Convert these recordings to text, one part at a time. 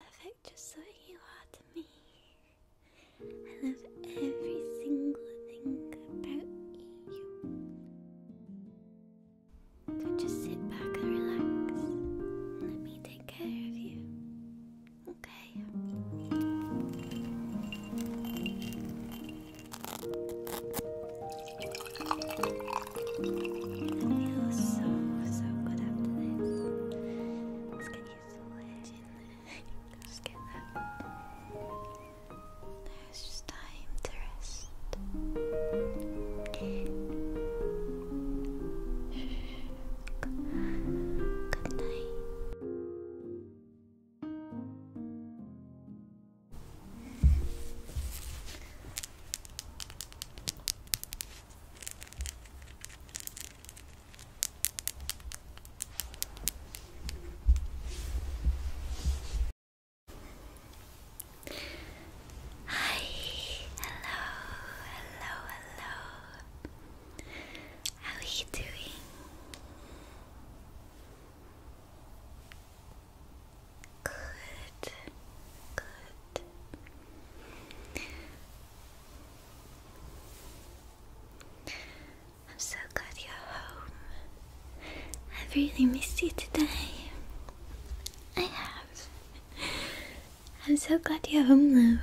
perfect just the you are to me. I love every single thing about you. So just sit back and relax let me take care of you. Okay. I feel so so good after this. Let's get to get that. There's just time to rest. Good night. Hi, hello, hello, hello. How are you doing? Good, good. I'm so glad you're home. i really missed you today. I have. I'm so glad you're home, though.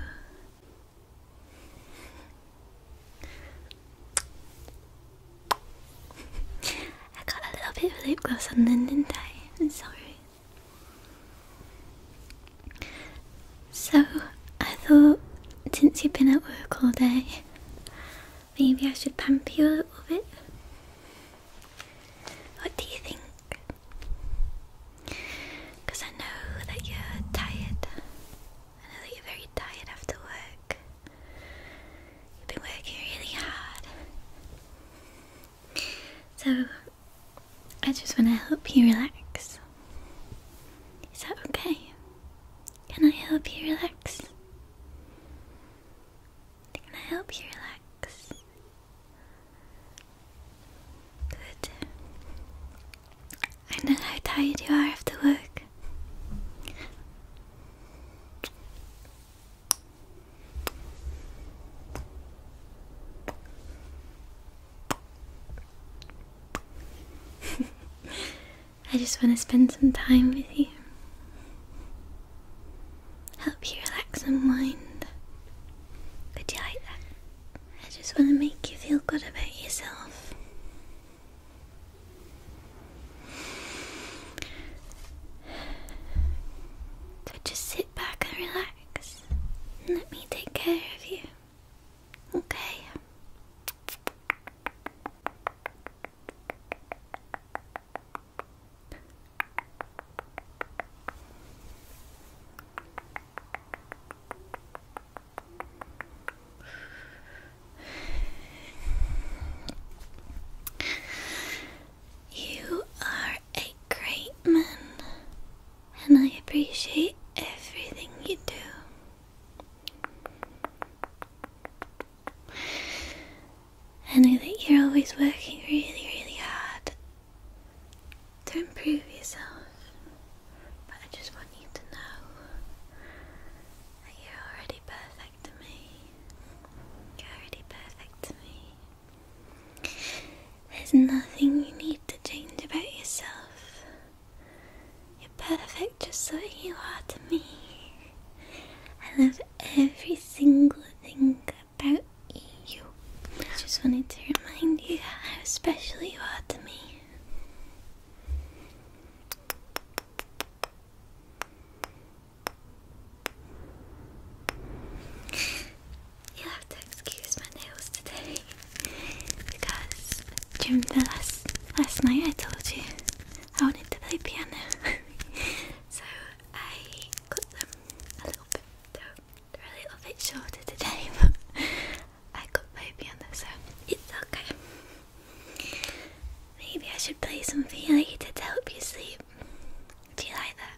I got a little bit of lip gloss on then, didn't I? I'm sorry. So, I thought since you've been at work all day, maybe I should pamper you a little bit. What do you think? Because I know that you're tired. I know that you're very tired after work. You've been working really hard. So, I just want to help you relax. Is that okay? Can I help you relax? Can I help you relax? Good. I know how tired you are after work. I just want to spend some time with you. Help you relax and mind. Would you like that? I just want to make you feel good about yourself. So just sit back and relax and let me take care of you. Okay. You are a great man and I appreciate everything you do. And I think you're always working really, really hard to improve yourself. But I just want you to know that you're already perfect to me. You're already perfect to me. There's nothing you need to change about yourself. You're perfect just the way you are to me. I love every single thing about you. I just wanted to remind you how special you are to me you have to excuse my nails today because during the last last night I told you I wanted to play piano, so I cut them a little bit. They're, a little bit shorter today, but I cut my piano, so it's okay. Maybe I should play some for you to help you sleep. Do you like that?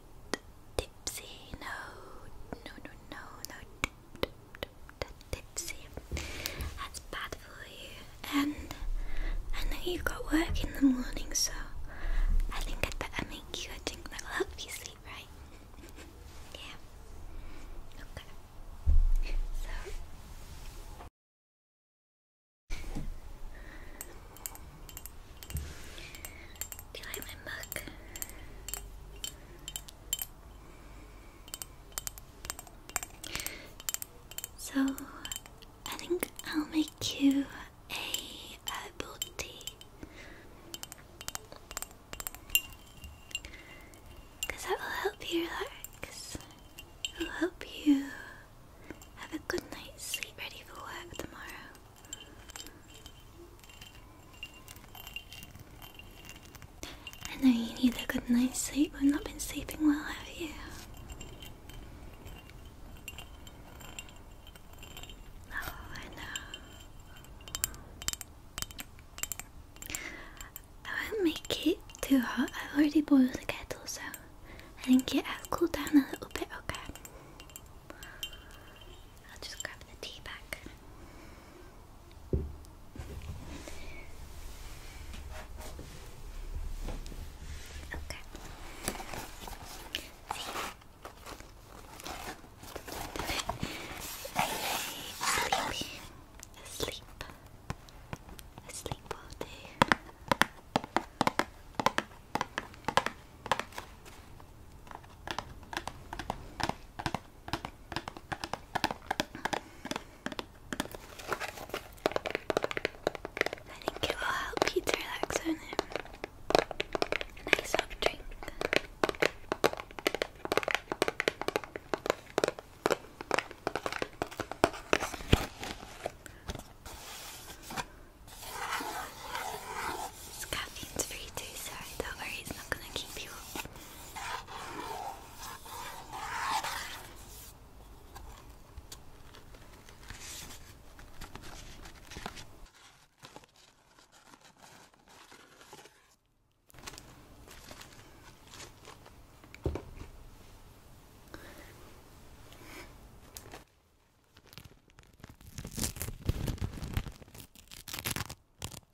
tipsy. No, no, no, no, no. tipsy. That's bad for you. And I know you got work in the morning, so I think I'd better make you a drink that will help you sleep, right? yeah. Okay. So. Do you like my mug? So, I think I'll make you a, a booty. Because that will help you relax. It will help you have a good night's sleep ready for work tomorrow. I know you need a good night's sleep. I've not been sleeping well, have you? Oh, I know. I won't make it too hot. I've already boiled the kettle, so I think it has cooled down a little bit, okay? I'll just grab the tea bag. Okay. See? Sleepy. Asleep. Asleep all day. I think it will help you to relax on it. Nice soft drink. It's caffeine's free too, sorry, don't worry, it's not gonna keep you up.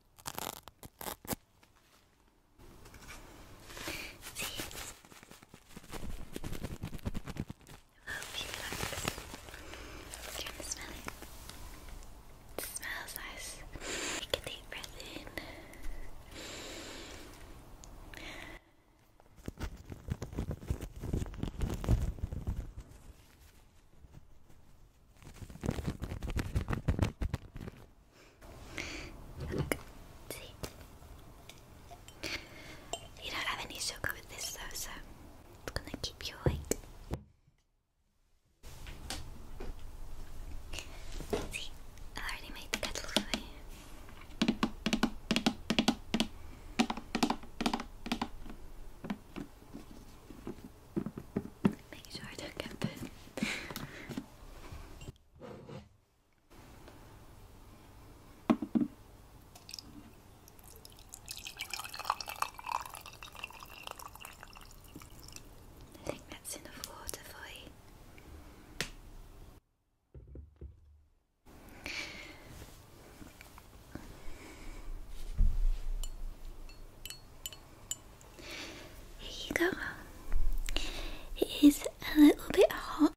Do you want to smell it? It smells nice. Take a deep breath in. You don't have any sugar with this though, so it's gonna keep you awake. I already made the kettle for you. Make sure I don't get burned. I think that's enough water for you. Here you go. It is a little bit hot,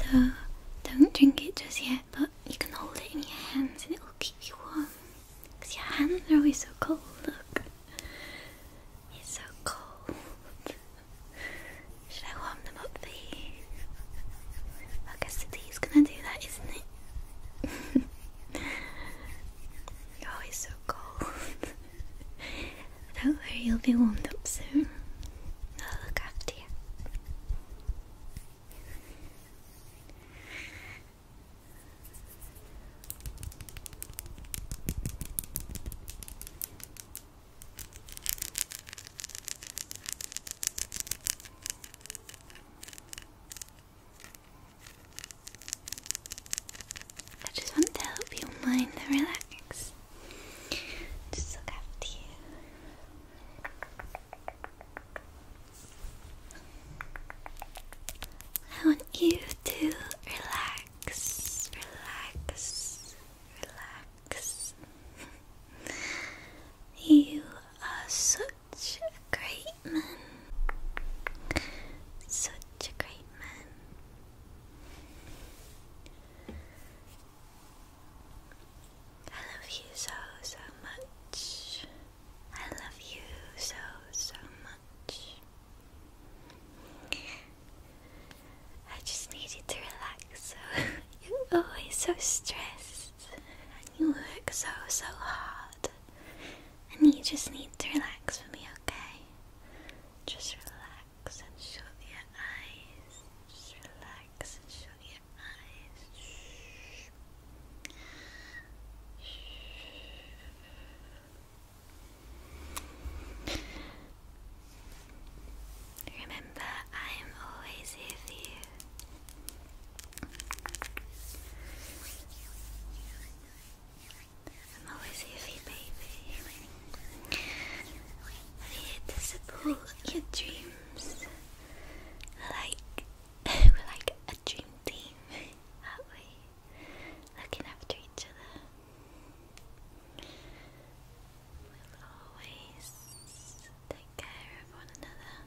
so don't drink it just yet, but you can hold it in your hands and it will keep you warm. Because your hands are always so cold, look. It's so cold. Should I warm them up for you? I guess the tea's gonna do that, isn't it? You're always so cold. Don't worry, you'll be warmed up soon. I'll look after you. I just want to help your mind relax. Just look after you. I want you to relax, relax, relax. you are so such a great man. Such a great man. I love you so, so much. I love you so, so much. I just needed to relax, so you're always so stressed and you work so, so hard. And you just need to relax for me, okay? Just relax and shut your eyes. Just relax and shut your eyes. Remember, I am always here for you. I'm always here you, baby. I'm support your dreams. Like we're like a dream team, are Looking after each other. We'll always take care of one another.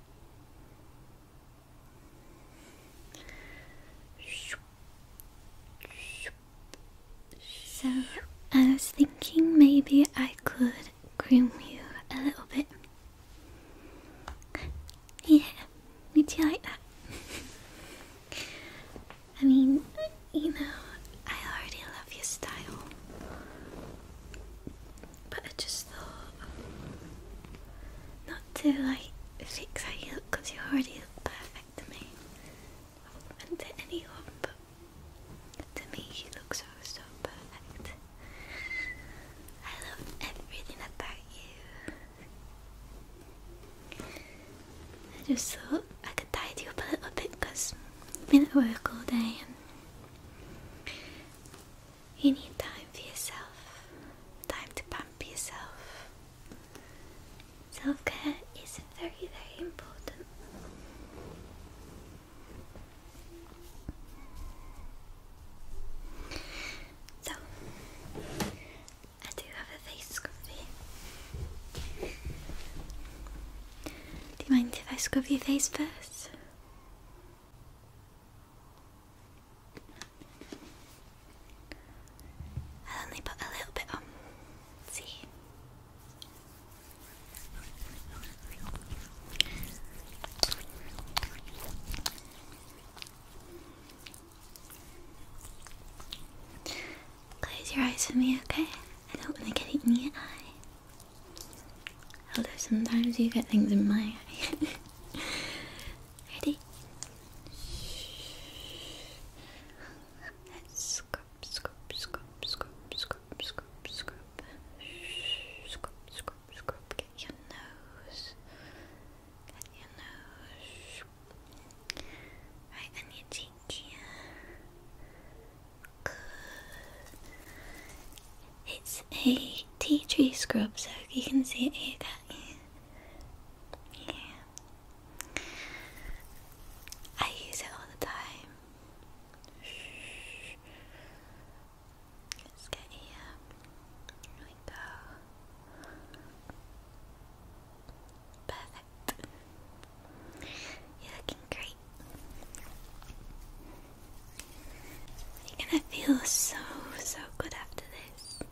So, I was thinking maybe I could groom you a little bit. Yeah, would you like that? I mean, you know, I already love your style but I just thought um, not to like fix how you look because you already look perfect to me and to anyone, but to me you look so so perfect. I love everything about you. I just thought I could tidy up a little bit because I've been at work all day you need time for yourself, time to pamper yourself. Self care is very, very important. So, I do have a face scrubbing. Do you mind if I scrub your face first? i only put a little bit on. see. Close your eyes for me, okay? I don't want to get it in your eye. Although sometimes you get things in my eye. Ready? Let's scoop, scoop, scoop, scoop, scoop, scoop, scoop, scoop, scoop, Get your nose. Get your nose. Right on your cheek It's a tea tree scrub, so you can see it here, can yeah. I use it all the time. Let's get here. Here we go. Perfect. You're looking great. You're gonna feel so, so good after this.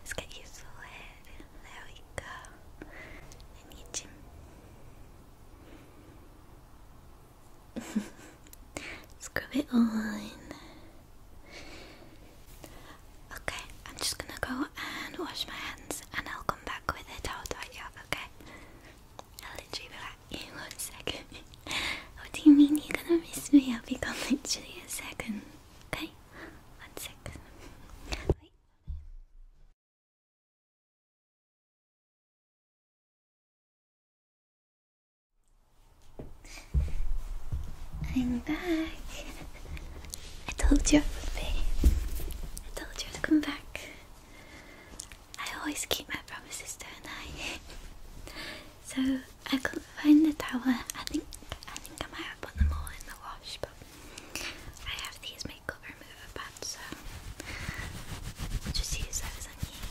Let's get your to it. There we go. I need you. Scrub it on. Okay, I'm just gonna go and wash my hands and I'll come back with it. I'll dot you up, okay? I'll literally be back in one second what oh, do you mean you're gonna miss me? I'll be coming to you in a second. Okay? One second. I'm back. I told you I would be. I told you to come back. I always keep my promises, don't I? So I couldn't find the towel. I think I think I might have put them all in the wash, but I have these makeup remover pads, so I'll just use those on you.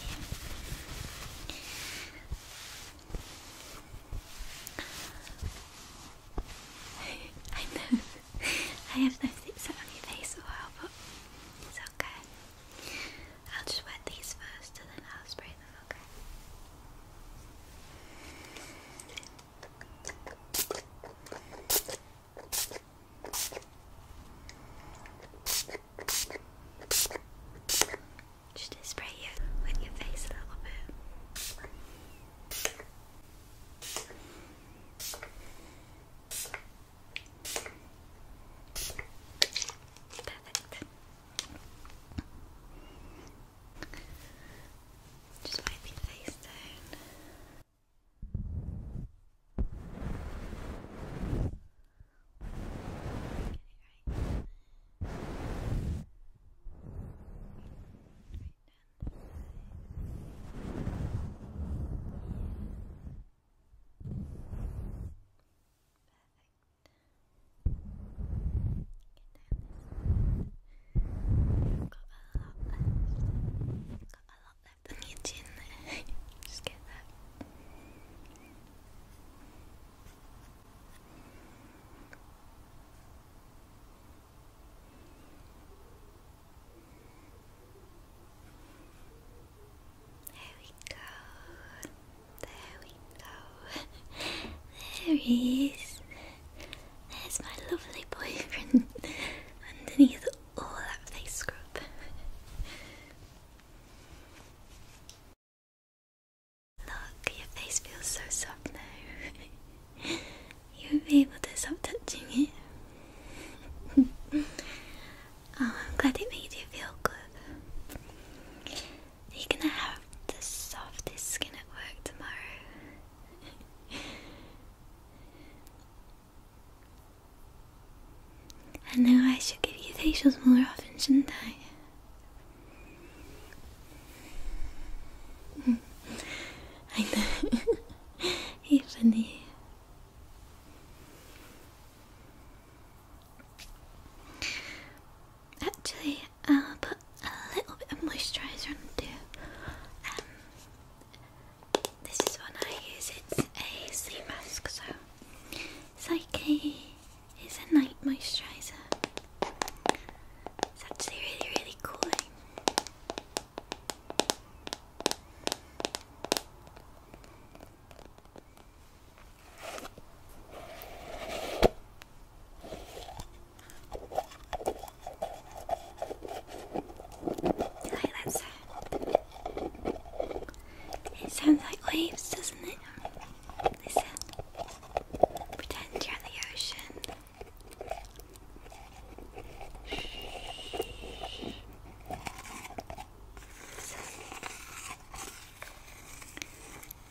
I know I have noticed it on your face a while, but it's okay. I'll just wet these first and then I'll spray them, okay? Just spray you with your face a little bit. Perfect. Just wipe your face down. Get it right. Perfect. Got a lot left on your chin there. Just get that. There we go. There we go. there he is. There's my lovely boyfriend underneath all that face scrub. Look, your face feels so soft now. you have been able to stop touching it. oh, I'm glad it made you feel good. You're gonna have the softest skin at work tomorrow. I know I should give you facials more often, shouldn't I? I know. You're funny. Actually, uh, put a little bit of moisturiser on too. Um, this is one I use, it's a sea mask, so it's like a, it's a night moisturiser. It's actually really, really cooling. Eh? like that sound? It sounds like waves, doesn't it? Pretend you're in the ocean.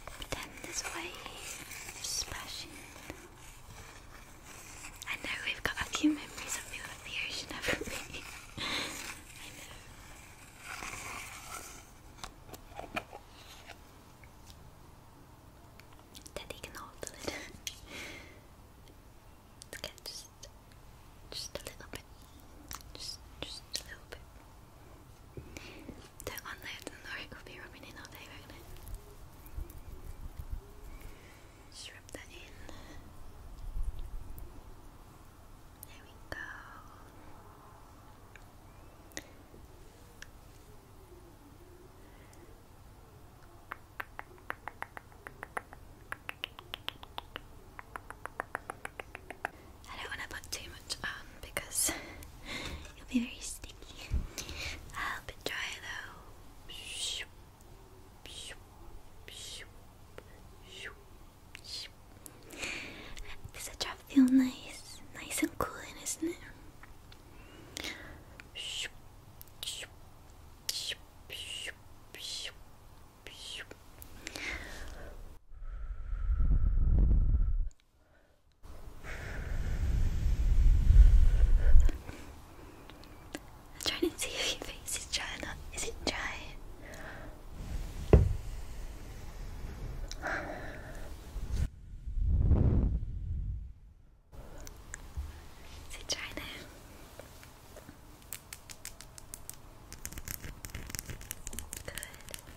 Pretend this wave I know we've got a few memories of me with the ocean, I know. Daddy can hold the lid. okay, just, just a little bit. Just, just a little bit. Don't unload them or it be rubbing in all day, Just rub that in. There we go. I don't want to put too um, because you will be very sticky. I'll be dry though. Does the drop feel nice? Nice and cool, isn't it? I'm trying to see if your face is dry or not. Is it dry? Is it dry Good.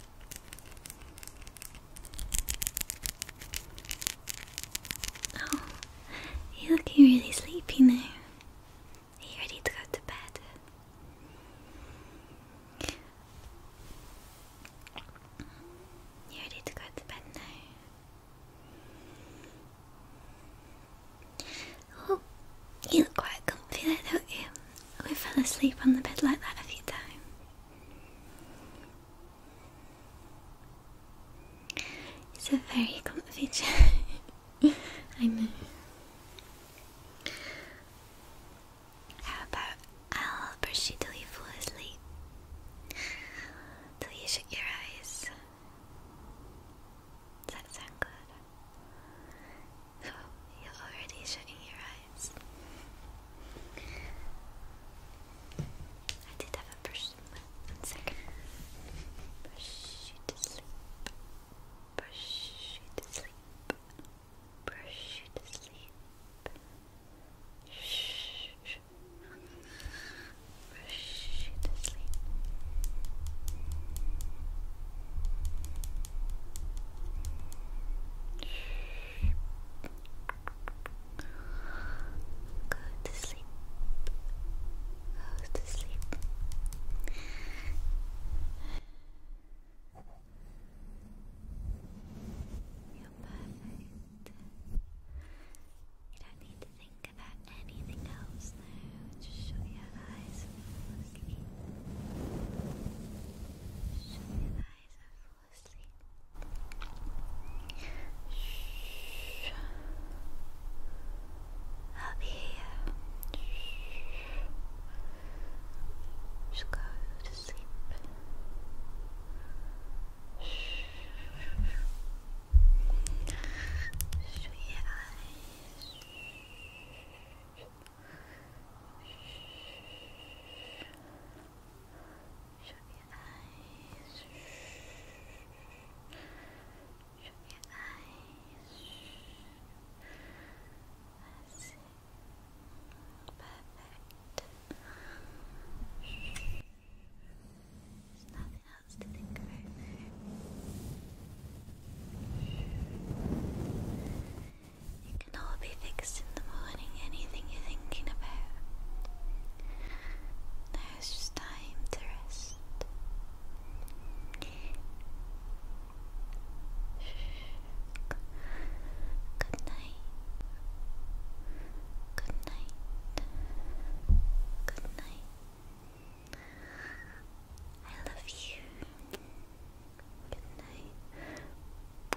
Oh, you're looking really sleepy now. Are you ready to go to bed? You ready to go to bed now? Oh, you look quite comfy there, don't you? We fell asleep on the bed like that a few times. It's a very comfy chair. I know. How about I'll brush you till you fall asleep? Till you shut your eyes. Does that sound good? So you're already shutting your guys. I did have a brush. One second. Brush you to sleep. Brush you to sleep. Brush you to sleep. Shh. Brush you to sleep. Shh. Brush Go to sleep. Go to sleep. You're perfect. You don't need to think about anything else now. Just shut your eyes and fall asleep. Shut your eyes asleep. Shh. i here. Shh. Just go to sleep. Shh. Shut your eyes. Shh. Shh. Shut your eyes. Perfect. There's nothing else to think about can all be fixed in the morning, anything you're thinking about. Now it's just time to rest. Good night. Good night. Good night. I love you. Good night.